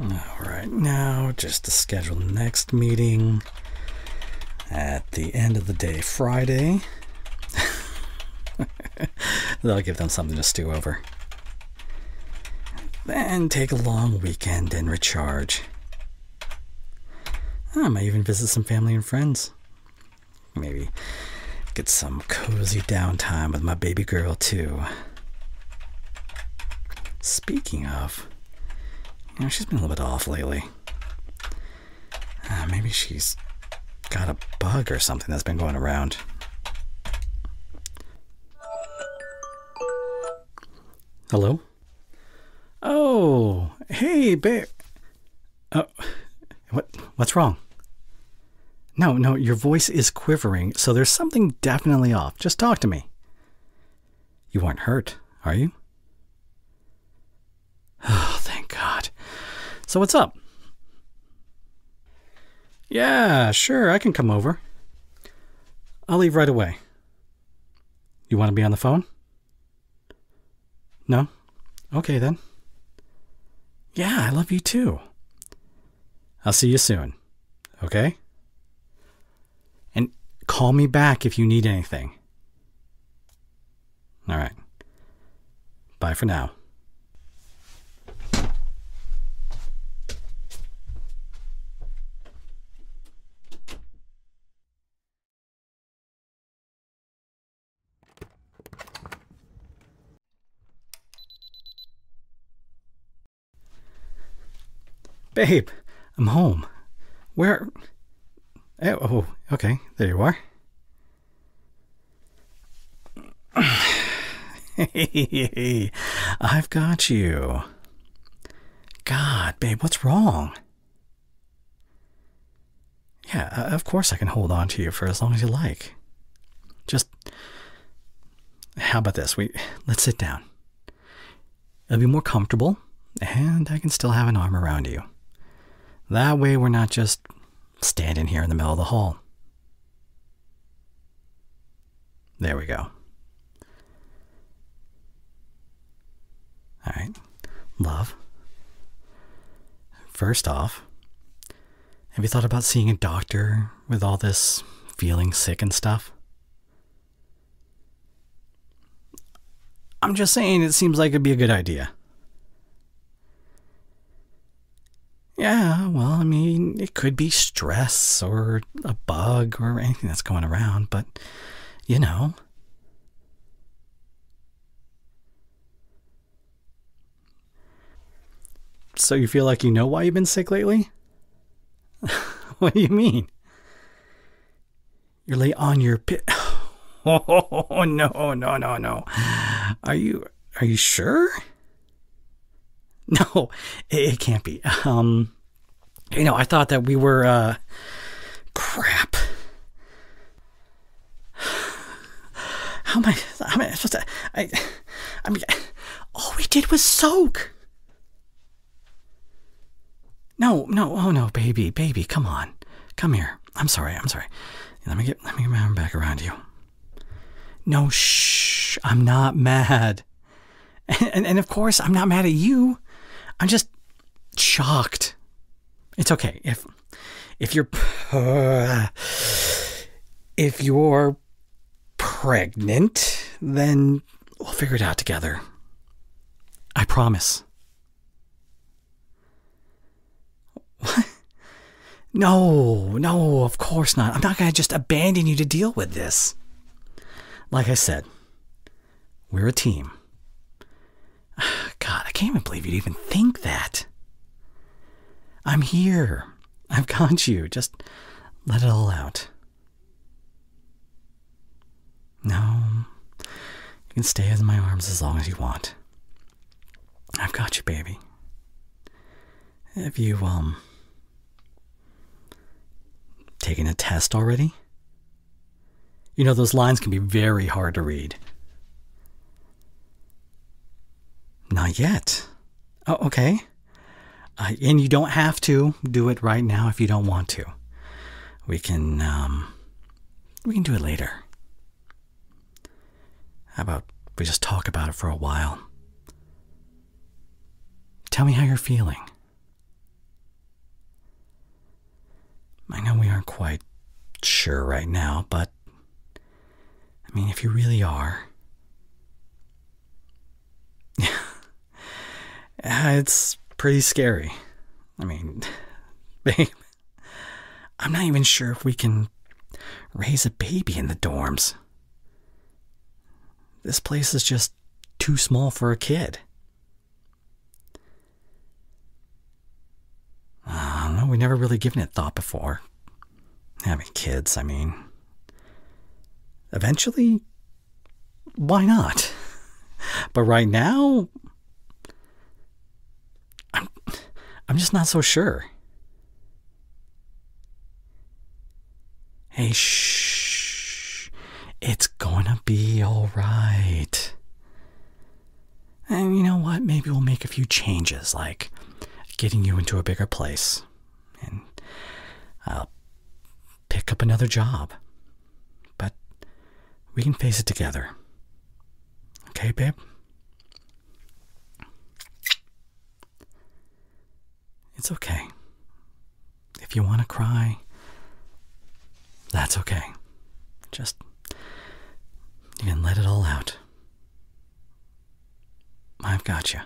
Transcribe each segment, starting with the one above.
All right, now just to schedule the next meeting at the end of the day, Friday. That'll give them something to stew over. and take a long weekend and recharge. I might even visit some family and friends. Maybe get some cozy downtime with my baby girl, too. Speaking of, you know, she's been a little bit off lately. Uh, maybe she's got a bug or something that's been going around. Hello? Oh, hey, babe. Uh, what? What's wrong? No, no, your voice is quivering, so there's something definitely off. Just talk to me. You aren't hurt, are you? Oh, thank God. So, what's up? Yeah, sure, I can come over. I'll leave right away. You want to be on the phone? No? Okay then. Yeah, I love you too. I'll see you soon. Okay? And call me back if you need anything. All right. Bye for now. Babe, I'm home. Where? Eh, oh, okay. There you are. hey, I've got you. God, babe, what's wrong? Yeah, uh, of course I can hold on to you for as long as you like. Just how about this? We let's sit down. It'll be more comfortable, and I can still have an arm around you. That way we're not just standing here in the middle of the hall. There we go. All right. Love. First off, have you thought about seeing a doctor with all this feeling sick and stuff? I'm just saying it seems like it'd be a good idea. Yeah, well, I mean, it could be stress or a bug or anything that's going around, but you know. So you feel like you know why you've been sick lately? what do you mean? You're late on your pit. oh no, no, no, no. Are you are you sure? No, it, can't be. Um you know, I thought that we were uh crap. How am I? How am I supposed to? I, I mean, all we did was soak. No, no, oh no, baby, baby, come on, come here. I'm sorry, I'm sorry. Let me get, let me get my arm back around you. No, shh, I'm not mad. and, and of course, I'm not mad at you. I'm just shocked it's okay if if you're uh, if you're pregnant, then we'll figure it out together. I promise. What? No, no, of course not. I'm not going to just abandon you to deal with this. Like I said, we're a team. God, I can't even believe you'd even think that. I'm here. I've got you. Just let it all out. No, you can stay in my arms as long as you want. I've got you, baby. Have you, um, taken a test already? You know, those lines can be very hard to read. Not yet. Oh, okay. Uh, and you don't have to do it right now if you don't want to. We can um, we can do it later. How about we just talk about it for a while? Tell me how you're feeling. I know we aren't quite sure right now, but I mean, if you really are, it's pretty scary. I mean, I'm not even sure if we can raise a baby in the dorms. This place is just too small for a kid. I uh, do we never really given it thought before. Having kids, I mean. Eventually, why not? But right now, I'm, I'm just not so sure. Hey, shh. It's gonna be alright. And you know what? Maybe we'll make a few changes, like getting you into a bigger place, and I'll uh, pick up another job. But we can face it together. Okay, babe? It's okay. If you want to cry, that's okay. Just, you can let it all out. I've got you.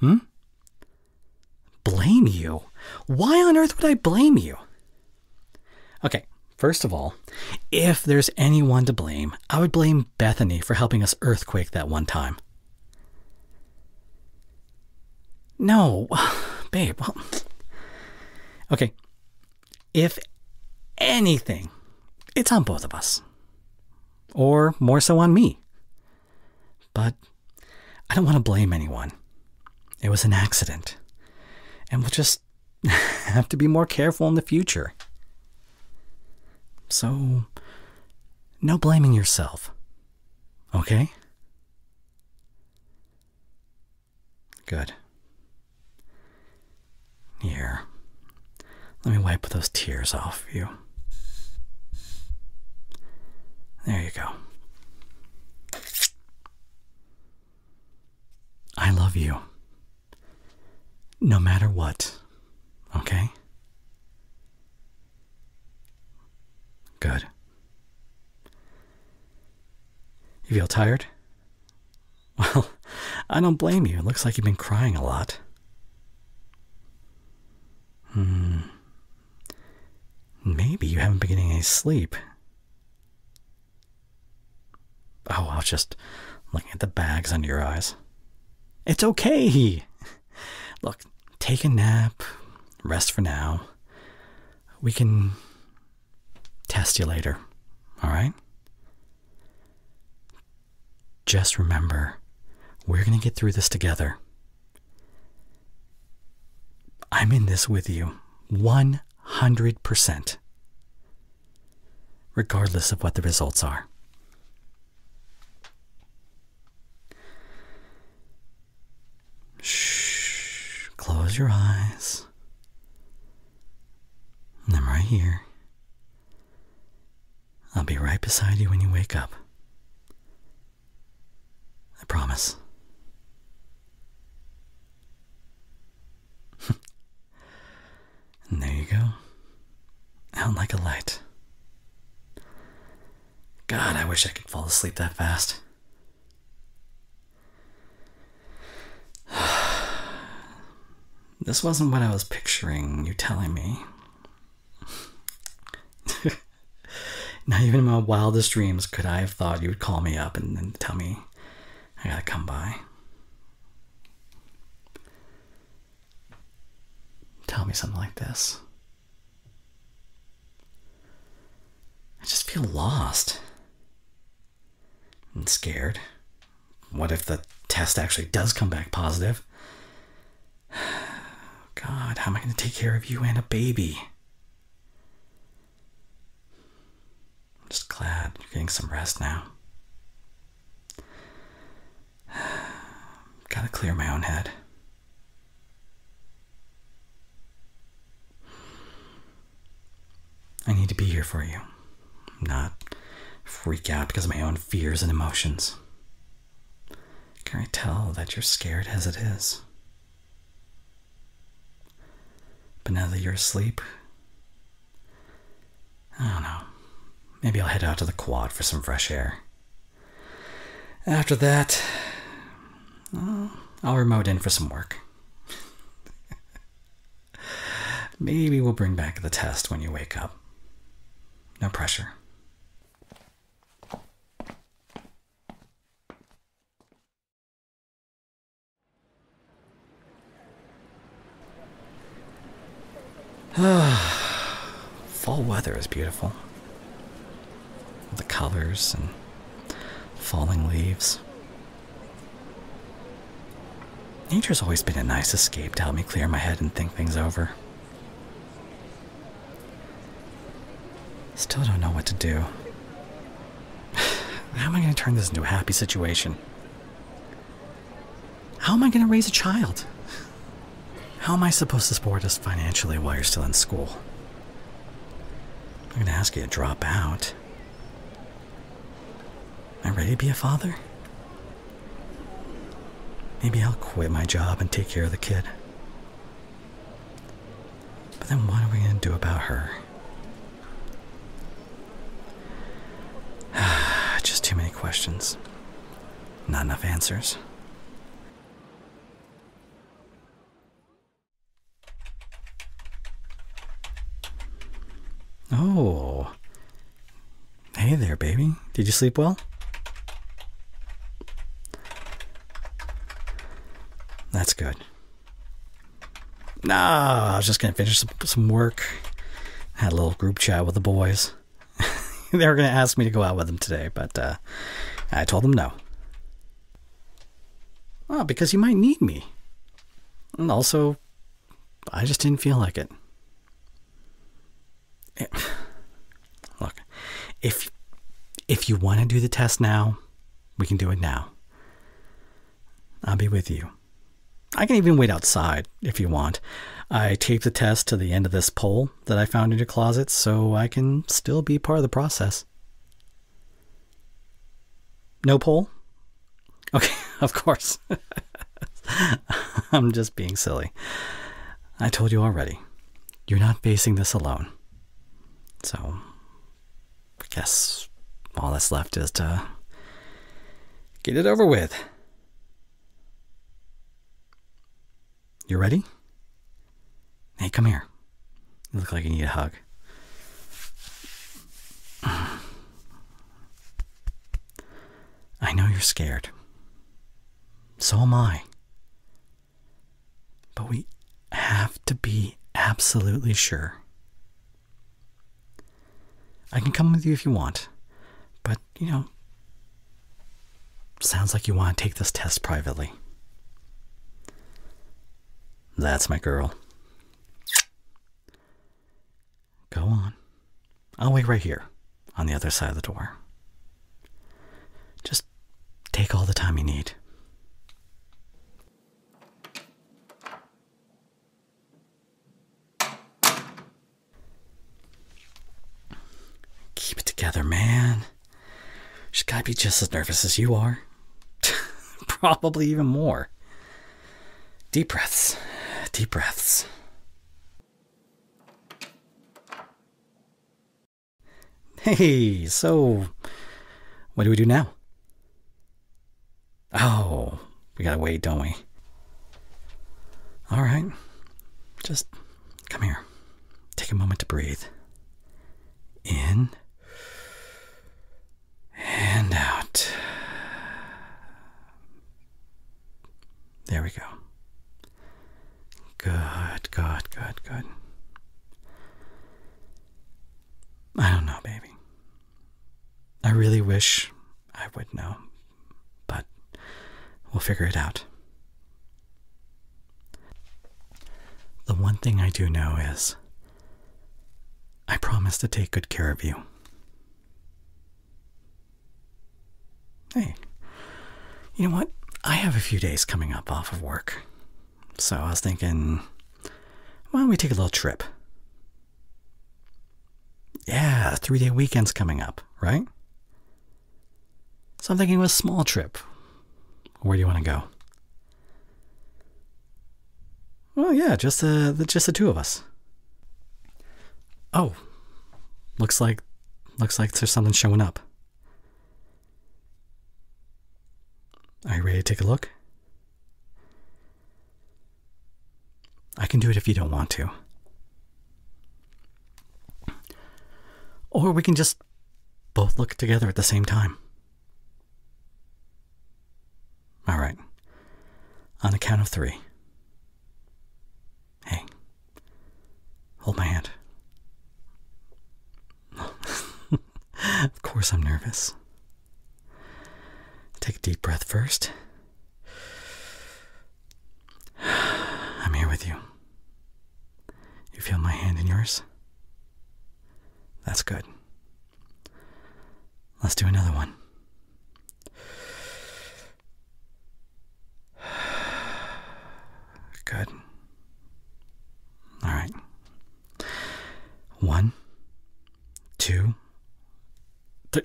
Hmm? Blame you? Why on earth would I blame you? Okay, first of all, if there's anyone to blame, I would blame Bethany for helping us earthquake that one time. No, babe. okay. If anything, it's on both of us, or more so on me. But I don't want to blame anyone. It was an accident, and we'll just have to be more careful in the future. So, no blaming yourself, okay? Good. Here. Let me wipe those tears off you. There you go. I love you. No matter what. Okay? Good. You feel tired? Well, I don't blame you. It looks like you've been crying a lot. Hmm. Maybe you haven't been getting any sleep. Oh, I was just looking at the bags under your eyes. It's okay. Look, take a nap, rest for now we can test you later, all right? Just remember, we're going to get through this together. I'm in this with you 100%, regardless of what the results are. Shh. Close your eyes. I'm right here. I'll be right beside you when you wake up. I promise. and there you go. Out like a light. God, I wish I could fall asleep that fast. this wasn't what I was picturing, you telling me. Not even in my wildest dreams could I have thought you would call me up and, and tell me I gotta come by. Tell me something like this. I just feel lost and scared. What if the test actually does come back positive? God, how am I going to take care of you and a baby? I'm just glad you're getting some rest now. Gotta clear my own head. I need to be here for you, not freak out because of my own fears and emotions. Can I tell that you're scared as it is? But now that you're asleep, I don't know. Maybe I'll head out to the quad for some fresh air. After that, I'll remote in for some work. Maybe we'll bring back the test when you wake up. No pressure. Fall weather is beautiful the colors and falling leaves. Nature's always been a nice escape to help me clear my head and think things over. Still don't know what to do. How am I going to turn this into a happy situation? How am I going to raise a child? How am I supposed to support us financially while you're still in school? I'm going to ask you to drop out. Am I ready to be a father? Maybe I'll quit my job and take care of the kid. But then what are we going to do about her? Just too many questions. Not enough answers. Oh. Hey there, baby. Did you sleep well? That's good. No, I was just going to finish some, work. Had a little group chat with the boys. they were going to ask me to go out with them today, but uh, I told them no. Ah, because you might need me. And also, I just didn't feel like it. it eh, look, if if you want to do the test now, we can do it now. I'll be with you. I can even wait outside if you want. I taped the test to the end of this pole that I found in your closet so I can still be part of the process. No poll? Okay, of course. I'm just being silly. I told you already. You're not facing this alone. So, I guess all that's left is to get it over with. You ready? Hey, come here. You look like you need a hug. I know you're scared. So am I. But we have to be absolutely sure. I can come with you if you want, but you know, sounds like you want to take this test privately. That's my girl. Go on. I'll wait right here on the other side of the door. Just take all the time you need. Keep it together, man. She's got to be just as nervous as you are. Probably even more. Deep breaths. Deep breaths. Hey, so what do we do now? Oh, we gotta wait, don't we? All right, just come here. Take a moment to breathe in and out. There we go. Good, good, good, good. I don't know, baby. I really wish I would know, but we'll figure it out. The one thing I do know is I promise to take good care of you. Hey, you know what? I have a few days coming up off of work. So I was thinking, why don't we take a little trip? Yeah, three day weekend's coming up, right? So I'm thinking a small trip. Where do you want to go? Well, yeah, just the, the just the two of us. Oh, looks like looks like there's something showing up. Are you ready to take a look? I can do it if you don't want to. Or we can just both look together at the same time. All right. On a count of three. Hey, hold my hand. of course, I'm nervous. Take a deep breath first. I'm here with you. You feel my hand in yours? That's good. Let's do another one. Good. All right. One, two, three.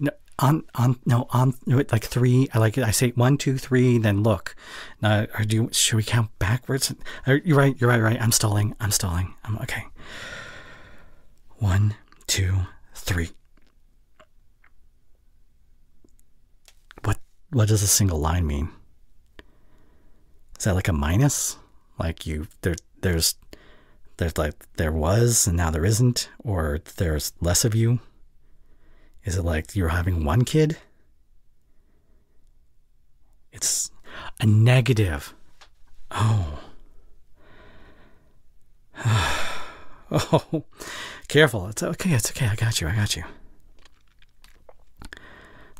No, on, on, no, on, like three. I like it. I say one, two, three, then look. Now, do should we count back? You're right. You're right. Right. I'm stalling. I'm stalling. I'm okay. One, two, three. What? What does a single line mean? Is that like a minus? Like you there? There's there's like there was and now there isn't, or there's less of you. Is it like you're having one kid? It's a negative. Oh. oh. Careful. It's okay. It's okay. I got you. I got you.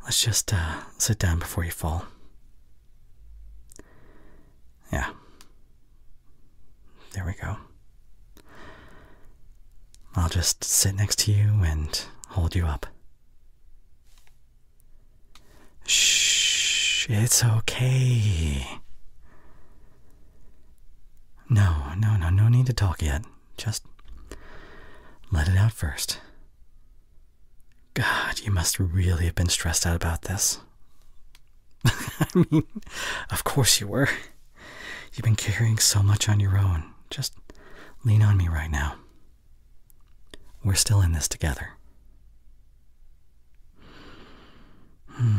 Let's just uh, sit down before you fall. Yeah. There we go. I'll just sit next to you and hold you up. Shh, it's okay. No, no, no, no need to talk yet. Just let it out first. God, you must really have been stressed out about this. I mean, of course you were. You've been carrying so much on your own. Just lean on me right now. We're still in this together. Hmm.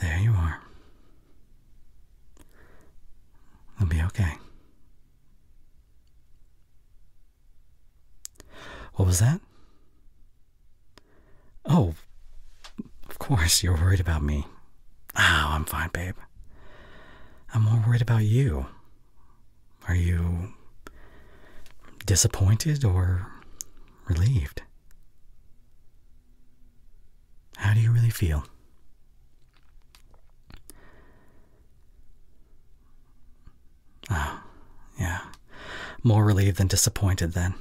There you are. It'll be okay. What was that? Oh, of course, you're worried about me. Oh, I'm fine, babe. I'm more worried about you. Are you disappointed or relieved? How do you really feel? Oh, yeah. More relieved than disappointed, then.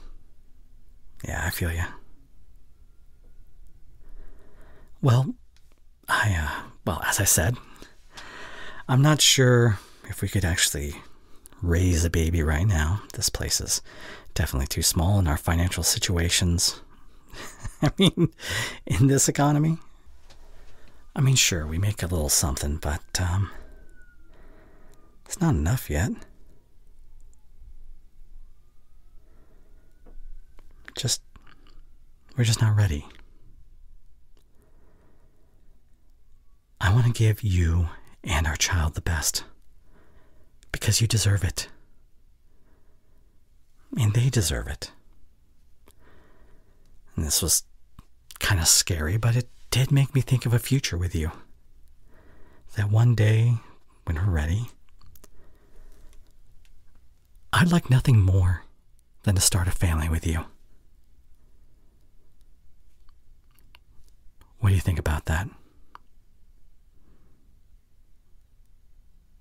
Yeah, I feel you. Well, I, uh, well, as I said, I'm not sure if we could actually raise a baby right now. This place is definitely too small in our financial situations. I mean, in this economy. I mean, sure, we make a little something, but um, it's not enough yet. Just, we're just not ready. I want to give you and our child the best because you deserve it. And they deserve it. And this was kind of scary, but it did make me think of a future with you. That one day when we're ready. I'd like nothing more than to start a family with you. What do you think about that?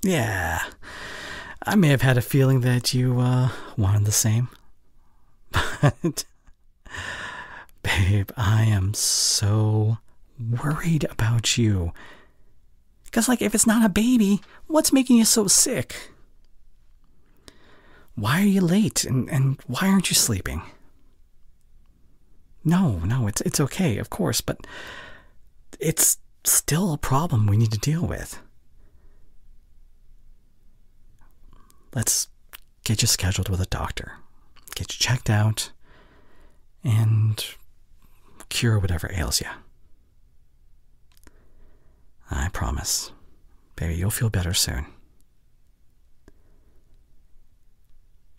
Yeah, I may have had a feeling that you uh, wanted the same, but Babe, I am so worried about you. Because, like, if it's not a baby, what's making you so sick? Why are you late and, and why aren't you sleeping? No, no, it's, it's okay, of course, but it's still a problem we need to deal with. Let's get you scheduled with a doctor, get you checked out, and cure whatever ails you. I promise, baby, you'll feel better soon.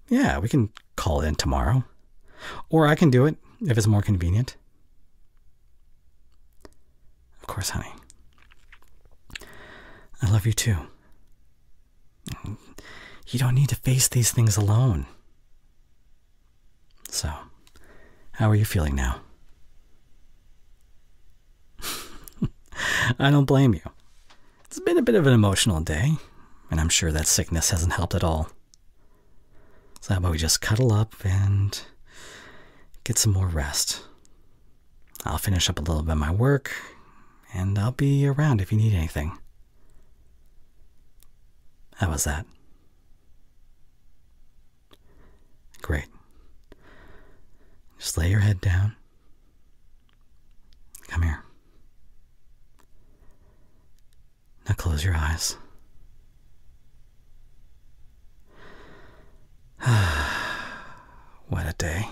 Yeah, we can call in tomorrow. Or I can do it if it's more convenient. Of course, honey. I love you too. You don't need to face these things alone. So, how are you feeling now? I don't blame you. It's been a bit of an emotional day, and I'm sure that sickness hasn't helped at all. So, how about we just cuddle up and get some more rest? I'll finish up a little bit of my work, and I'll be around if you need anything. How was that? Great. Just lay your head down. Come here. Now close your eyes. what a day.